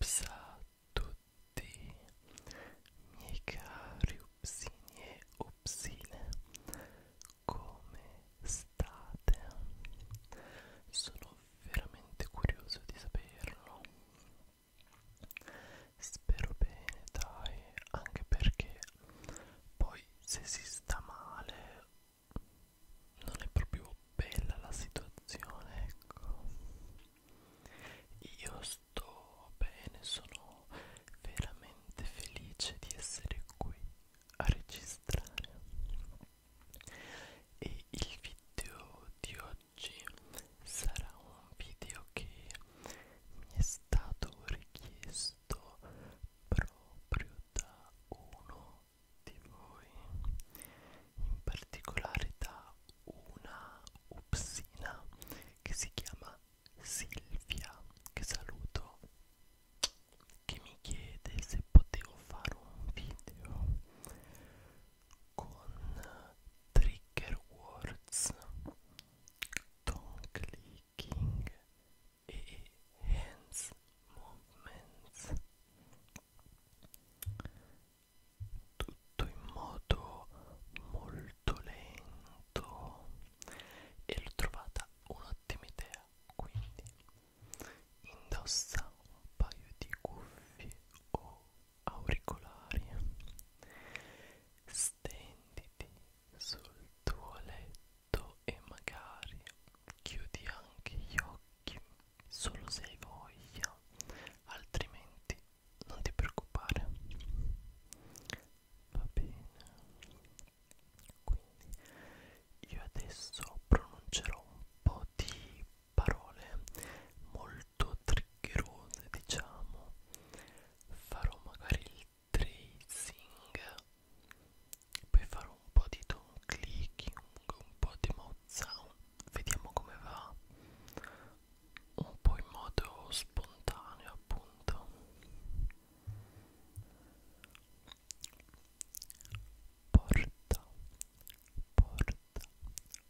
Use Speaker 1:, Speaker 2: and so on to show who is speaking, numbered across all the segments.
Speaker 1: Psa tutti, miei cari upsini e come state? Sono veramente curioso di saperlo spero bene dai anche perché poi se si sta male non è proprio bella la situazione ecco io sto bene sono veramente felice di essere qui a registrare e il video di oggi oggi sarà un video che mi è stato richiesto proprio da uno di voi in particolare da una upsina che si chiama Silvia che saluto che mi chiede se potevo fare un video con trigger words, tongue clicking e hands movements tutto in modo molto lento e l'ho trovata un'ottima idea quindi indossa un paio di cuffie o auricolari stenditi sul tuo letto e magari chiudi anche gli occhi solo se hai voglia altrimenti non ti preoccupare va bene quindi io adesso pronuncerò un po' di parole molto triggerose diciamo farò magari il tracing poi farò un po' di tone clicking un po' di mouth sound vediamo come va un po' in modo spontaneo appunto porta porta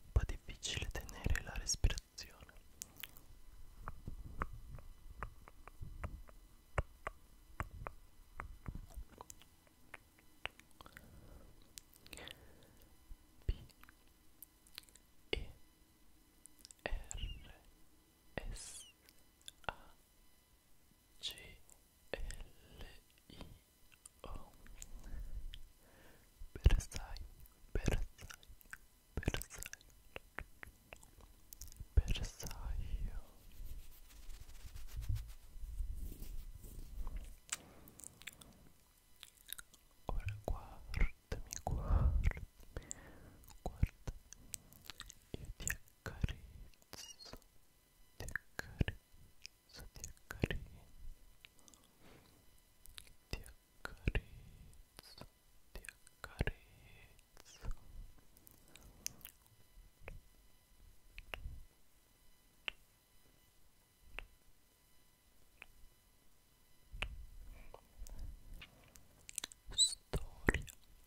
Speaker 1: un po' difficile tenere la respirazione P E R S A C L I O Bersai Bersai Bersai Bersaglio Ora guardami, guardami, guardami Io ti accarezzo accarezzo, ti accarezzo, ti accarezzo ti accarezzo, ti accarezzo storia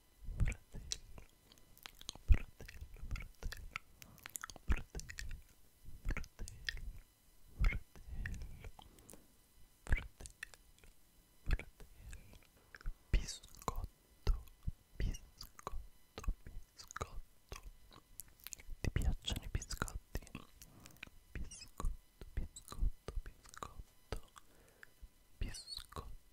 Speaker 1: fratello, biscotto, biscotto, biscotto. Ti piacciono i biscotti? Biscotto, biscotto, biscotto, biscotto.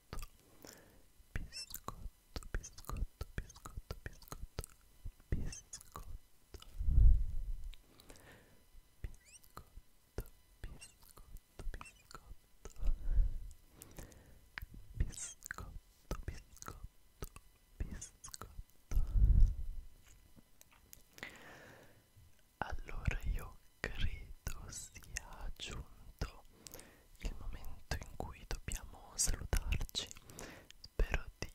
Speaker 1: biscotto, biscotto, biscotto, biscotto, biscotto, biscotto, biscotto, biscotto, biscotto, biscotto, biscotto. Allora io credo sia giunto il momento in cui dobbiamo salutarci. Spero di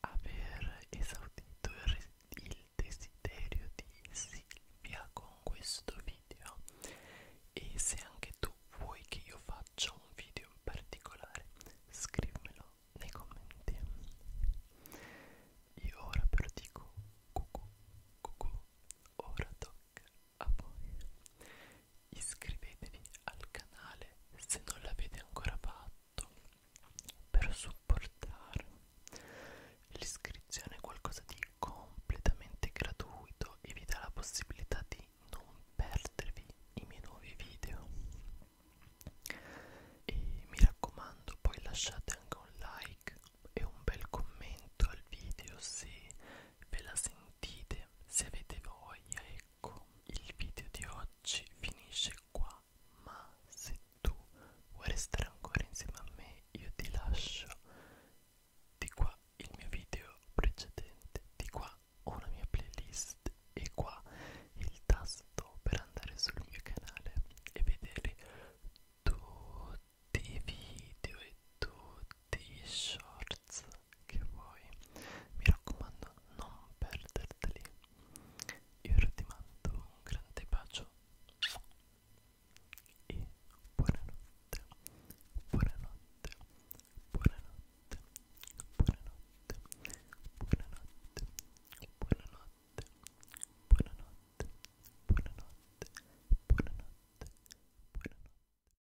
Speaker 1: aver esaudito il, il desiderio di Silvia con questo video e se anche tu vuoi che io faccia un video in particolare scrivimelo nei commenti. Io ora però dico cucù, cucù, ora tocca blog a voi iscrivetevi al canale se non l'avete ancora fatto per supportarmi l'iscrizione è qualcosa di completamente gratuito e vi dà la possibilità di non perdervi i miei nuovi video e mi raccomando poi lasciate anche un like e un bel commento al video se ve la sentite se avete voglia ecco il video di oggi finisce qua ma se tu vuoi restare ancora insieme a me io ti lascio di qua il mio video precedente di qua ho una mia playlist e qua il tasto per andare sul mio canale e vedere tutti i video e tutti dei shorts che vuoi mi raccomando non perderteli io ora ti mando un grande bacio e buonanotte buonanotte buonanotte buonanotte buonanotte buonanotte buonanotte buonanotte buonanotte buonanotte